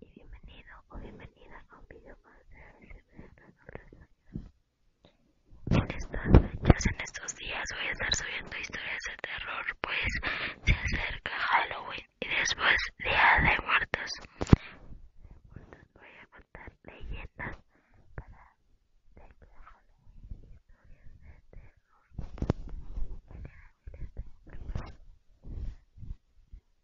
y bienvenido o bienvenida a un video más de ASMR En estas pues fechas, en estos días voy a estar subiendo historias de terror pues se acerca Halloween y después Día de Muertos voy a contar leyendas para de Halloween de terror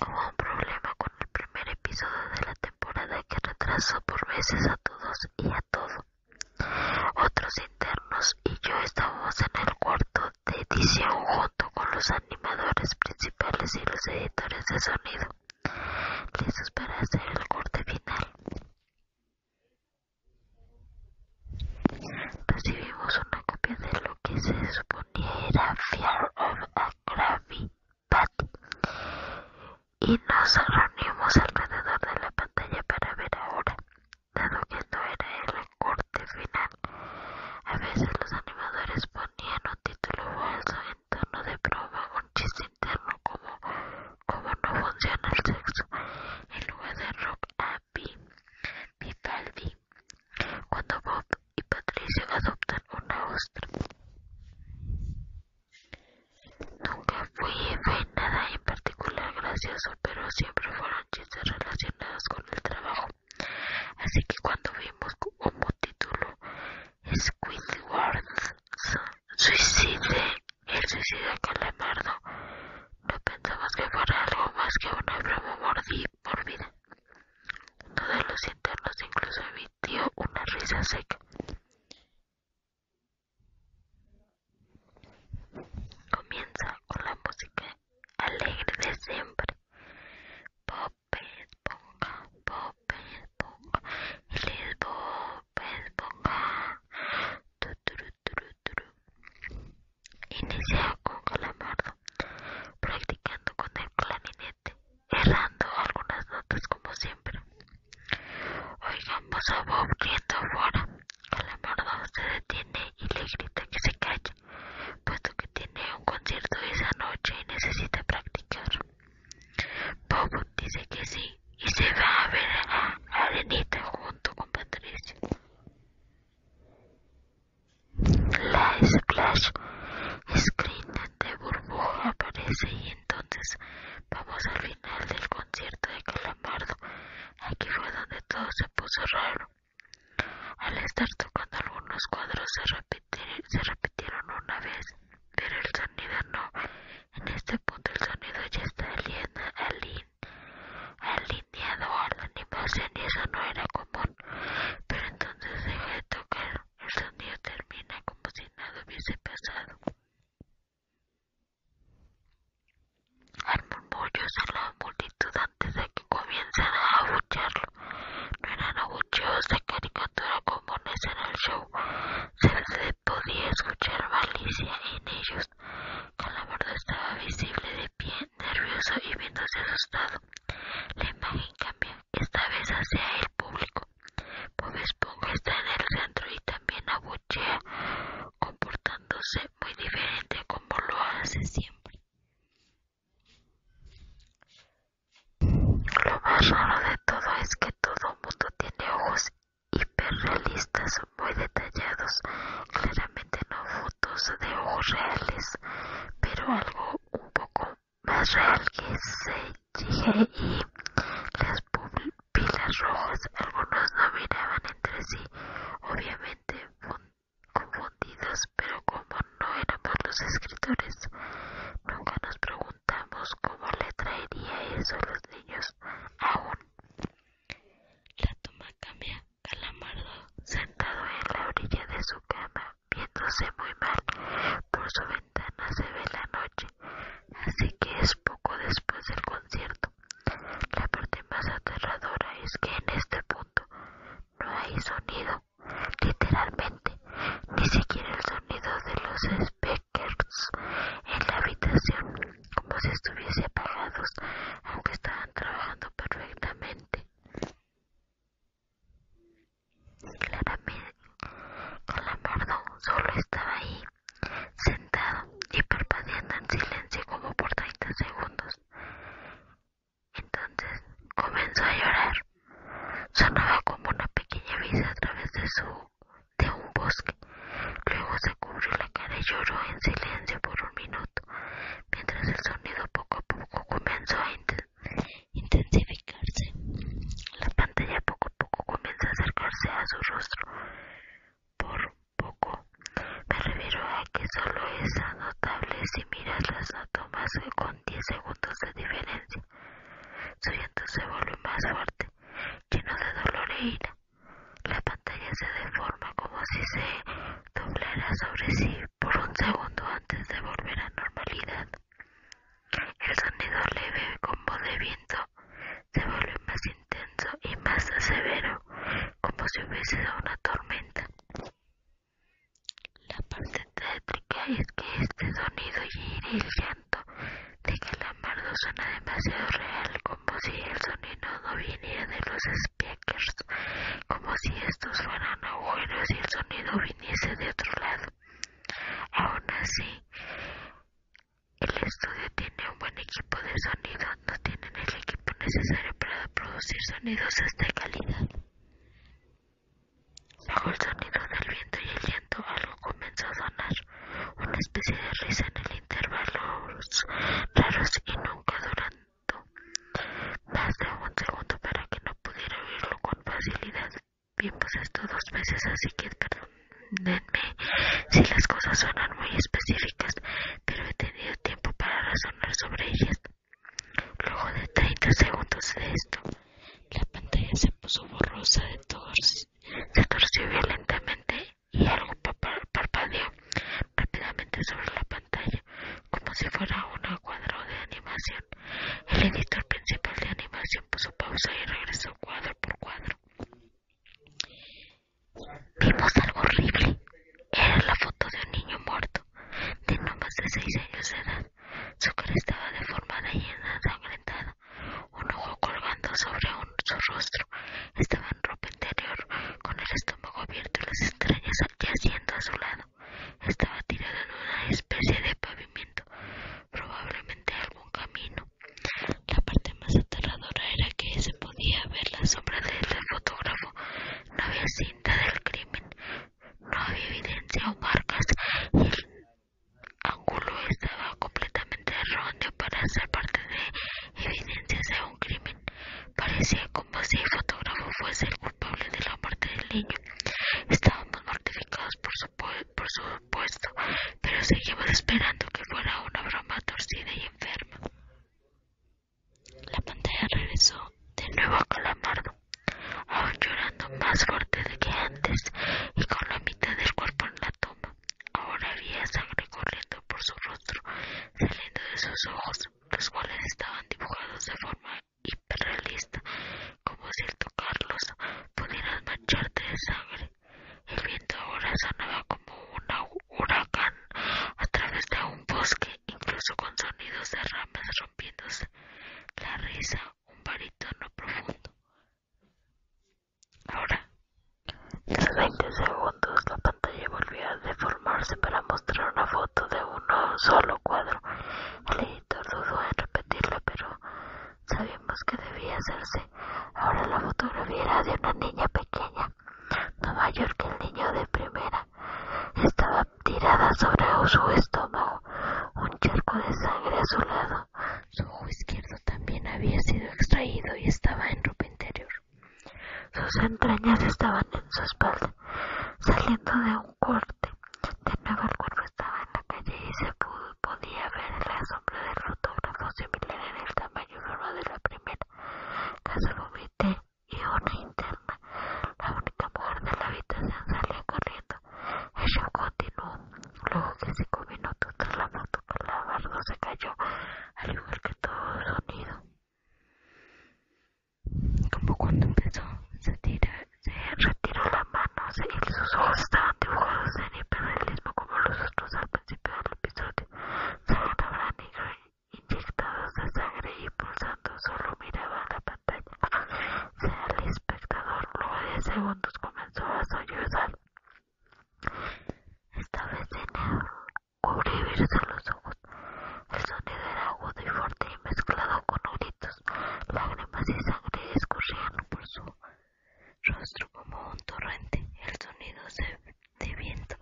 Hubo un problema con el primer episodio de la temporada que retrasó por veces a todos y a todo. Otros internos y yo estábamos en el cuarto de edición junto con los animadores principales y los editores de sonido, listos para hacer el corte final. Recibimos una copia de lo que se suponía era Fear of a Gravity y nos reunimos alrededor de la pantalla para ver ahora, dado que no era el corte final. A veces los animadores ponían un título falso en torno de broma, un chiste interno como no funciona el sexo, en lugar de rock a Vivaldi cuando Bob y Patricia adoptan una ostra. Nunca fue nada en particular gracioso, pero siempre fueron chistes relacionados con el trabajo. Así que cuando vimos como título Squidward suicide, el suicida calamardo, no pensamos que fuera algo más que una broma por vida. todos los internos incluso emitió una risa seca. Comienza con la música alegre de siempre. Popes ponga, popes ponga, Inicia con Calamardo, practicando con el clarinete, errando algunas notas como siempre. Oigamos a Bob riendo afuera. Calamardo se detiene y le grita que se calle, puesto que tiene un concierto esa noche y necesita practicar. Bob dice que sí y se va a ver a Arenita junto con Patricio. La splash screen de burbuja aparece y entonces vamos al final del concierto de Calamardo. Aquí fue donde todo se puso raro. Al estar tocando algunos cuadros se, repitieron una vez, pero el sonido no. En este punto el sonido ya está aliento el a la animación y eso no era común, pero entonces deja de tocar, el sonido termina como si nada hubiese pasado. Hay murmullo en la multitud antes de que comiencen a abuchearlo. No eran abucheos de caricatura comunes en el show. Se podía escuchar malicia en ellos la estaba visible de pie, nervioso y viéndose asustado. La imagen cambió, esta vez hacia el público. Bob Esponja está en el centro y también abuchea, comportándose muy diferente como lo hace siempre. Lo más raro de todo es que todo mundo tiene ojos hiperrealistas, muy detallados claramente no fotos de ojos reales, pero algo un poco más real que se y las pupilas rojas. Algunos no miraban entre sí, obviamente confundidos, pero como no éramos los escritores, nunca nos preguntamos cómo le traería eso a los niños aún. La toma cambia. Calamardo, sentado en la orilla de su cama, viéndose muy mal, por su ventana se ve la noche, así que es poco después del concierto. La parte más aterradora es que en este punto no hay sonido, literalmente, ni siquiera el sonido de los speakers en la habitación, como si estuviese apagados, aunque estaban trabajando perfectamente. Claramente, Calamardo solo estaba ahí, sentado y perpadeando en silencio como por 30 segundos. Entonces comenzó a llorar. Sonaba como una pequeña brisa a través de de un bosque. Luego se cubrió la cara y lloró en silencio por un minuto mientras el sonido poco a poco comenzó a intensificarse. La pantalla poco a poco comienza a acercarse a su rostro. Por poco me refiero a que solo es notable si miras las tomas con 10 segundos de diferencia. Su se vuelve más fuerte, lleno de dolor e ira. La pantalla se deforma como si se doblará sobre sí por un segundo antes de volver a normalidad. El sonido leve como de viento se vuelve más intenso y más severo, como si hubiese una tormenta. La parte tétrica es que este sonido y el llanto de amardo suena demasiado real, como si el sonido no viniera de los espejos como si estos fueran agujeros y el sonido viniese de otro lado. Aún así, el estudio tiene un buen equipo de sonido, no tienen el equipo necesario para producir sonidos de esta calidad. Bajo el sonido del viento y el viento, algo comenzó a sonar, una especie de risa en el intervalo raros y nunca duran más de un segundo para que no pudiera oírlo con facilidad. Vimos pues esto dos veces, así que perdónenme si las cosas suenan muy específicas, pero he tenido tiempo para razonar sobre ellas. Luego de 30 segundos de esto, la pantalla se puso borrosa, de se torció violentamente y algo parpadeó rápidamente sobre la pantalla como si fuera un cuadro de animación. El editor principal de animación puso pausa y regresó cuadro por cuadro. Vimos algo horrible. Era la foto de un niño muerto, de no más de seis años de edad. Su cara estaba deformada y ensangrentada. Un ojo colgando sobre su rostro. Estaba en ropa interior, con el abierto y las estrellas haciendo a su lado. Estaba tirado en una especie de pavimento, probablemente algún camino. La parte más aterradora era que se podía ver la sombra del fotógrafo. No había cinta del crimen, no había evidencia o marcas. el ángulo estaba completamente erróneo para ser parte de evidencias de un crimen. Parecía como si el fotógrafo fuese el culpable de la muerte del niño. Estábamos mortificados por su, por pero seguimos esperando que fuera una broma torcida y enferma. La pantalla regresó de nuevo a Calamardo, aún llorando más fuerte de que antes y con la mitad del cuerpo en la toma. Ahora había sangre corriendo por su rostro, saliendo de sus ojos. Los cuales estaban dibujados de forma hiperrealista, como si al tocarlos pudieran mancharte de sangre. El viento ahora sonaba como un huracán a través de un bosque, incluso con sonidos de ramas rompiéndose. La risa, un barítono profundo. Ahora, tras 20 segundos, la pantalla volvió a deformarse para mostrar una foto de un un solo cuadro. El editor dudó en repetirlo, pero sabíamos que debía hacerse. Ahora la fotografía era de una niña pequeña, no mayor que el niño de primera. Estaba tirada sobre su estómago, un charco de sangre a su lado. Su ojo izquierdo también había sido extraído y estaba en ropa interior. Sus entrañas estaban en su espalda, saliendo de un corte. De nuevo el cuerpo estaba en la calle y se podía ver el sombra del fotógrafo similar en el tamaño y de la primera. Casa vomité y una interna. La única mujer de la habitación salía corriendo. El continuó. Luego que cinco minutos tras la moto con la barba se cayó, al igual que todo el sonido como cuando empezó, se, se retiró la mano y sus ojos estaban dibujados en hiperrealismo como los otros al principio del episodio. Se estaban negro inyectados de sangre y pulsando, solo miraba la pantalla. el espectador, luego de segundos comenzó a sollozar. estaba vez cubrirse los ojos. El sonido era agudo y fuerte y mezclado con gritos. Lágrimas y sangre escurrían por su rostro como un torrente. El sonido de viento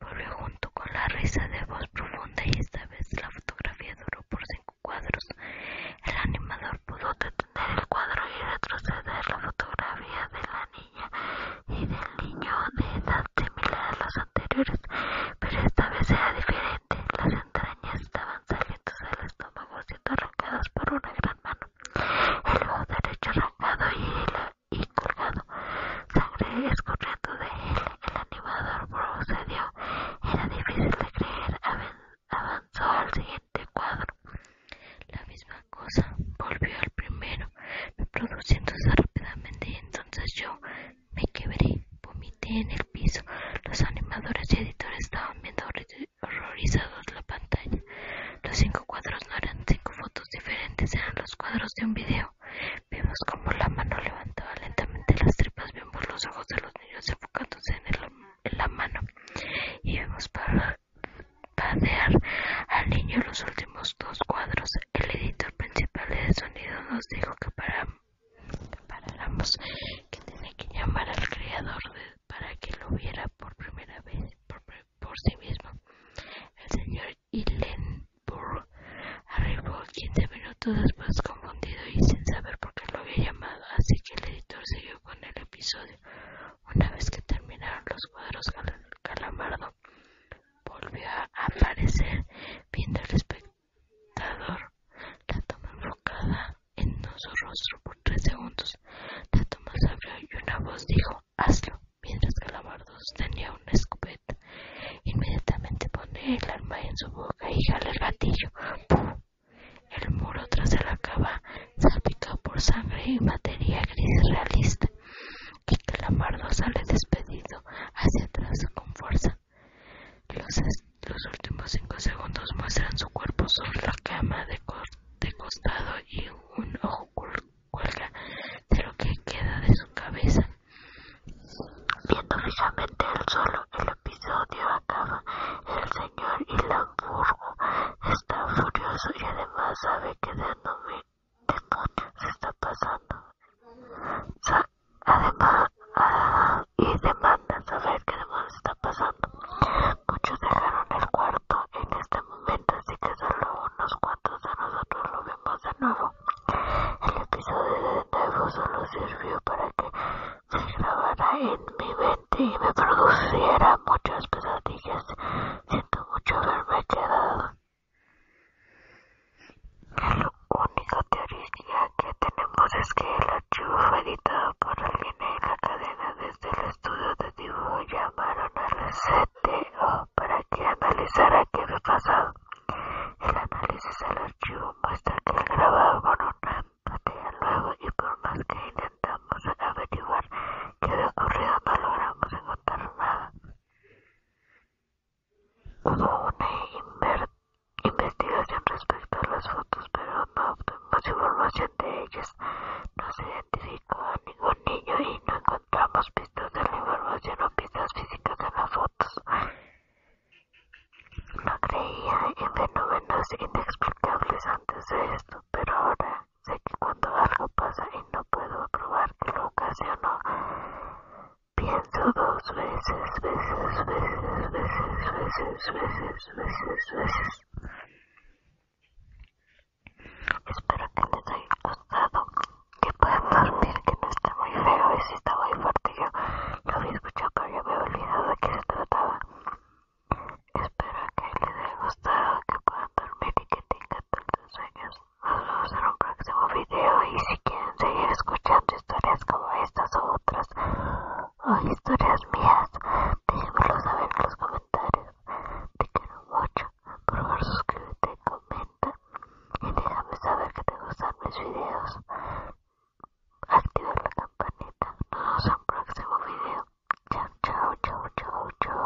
volvió junto con la risa de voz profunda y esta vez la fotografía duró por cinco cuadros. El animador pudo detener el cuadro y retroceder la fotografía de la niña y del niño de edad similar a las anteriores pero esta vez era diferente. Las entrañas estaban saliendo del estómago, siendo arrancadas por una gran mano. El ojo derecho arrancado y, colgado, sangre escurriendo de él. El animador procedió. Era difícil de creer. Avanzó al siguiente cuadro. La misma cosa volvió al primero, reproduciéndose rápidamente entonces yo me quebré, vomité en el piso. Los animadores y editores estaban viendo horrorizados la pantalla. Los cinco cuadros no eran cinco fotos diferentes, eran los cuadros de un video. Vimos como la mano levantaba lentamente las tripas, vimos los ojos de los niños enfocándose en, la mano y vimos para padear al niño los últimos dos cuadros. El editor principal de sonido nos dijo que para que tenía que llamar al Creador para que lo viera por primera vez por, sí mismo. El señor Hillenburg arribó 15 minutos después confundido y sin saber por qué lo había llamado, así que el editor siguió con el episodio. Una vez que terminaron los cuadros, Calamardo volvió a aparecer viendo el espectáculo la toma enrocada en su rostro por tres segundos. La toma se abrió y una voz dijo, hazlo, mientras Calamardo tenía una escopeta. Inmediatamente pone el arma en su boca y jala el gatillo. El muro tras de la cava salpicó por sangre y materia gris realista. Y Calamardo sale despedido hacia atrás con fuerza. Los, últimos cinco segundos muestran su cuerpo sobre la cama de, costado y un ojo cuelga de lo que queda de su cabeza. Viendo fijamente el suelo, el episodio acaba. El señor Ilanburgo está furioso y además sabe que de no se está pasando. Además, y demanda saber qué demonios está pasando. Muchos dejaron el cuarto en este momento, así que solo unos cuantos de nosotros lo vemos de nuevo. El episodio de nuevo solo sirvió para que se grabara en mi mente y me produciera muchas pesadillas. Siento mucho haberme quedado la única teoría que tenemos es que el archivo fue editado por alguien en la cadena desde el estudio de dibujo llamaron al CTO para que analizara qué había pasado. El análisis del archivo muestra que el grabado con una pantalla luego y por más que intentamos averiguar qué había ocurrido no logramos encontrar nada. Hubo una investigación respecto a las fotos, pero no obtuvimos información de ellas. No se identificó a ningún niño y no encontramos pistas de la información o pistas físicas de las fotos. No creía en fenómenos inexplicables antes de esto, pero ahora sé que cuando algo pasa y no puedo probar que lo ocasionó, Pienso dos veces, veces, veces, veces, veces, veces, veces, veces. Espero que les haya gustado, que puedan dormir, que no esté muy feo, y si está muy fuerte. Yo lo había escuchado, pero ya me había olvidado de qué se trataba. Espero que les haya gustado, que puedan dormir y que tengan tantos sueños. Nos vemos en un próximo video y si quieren seguir escuchando historias como estas o otras o historias mías, déjenmelo saber en los comentarios. Te quiero mucho, por favor suscríbete, comenta y déjame saber que te gustan mis videos. Activa la campanita. Nos vemos en el próximo video. Chao, chao, chao, chao, chao.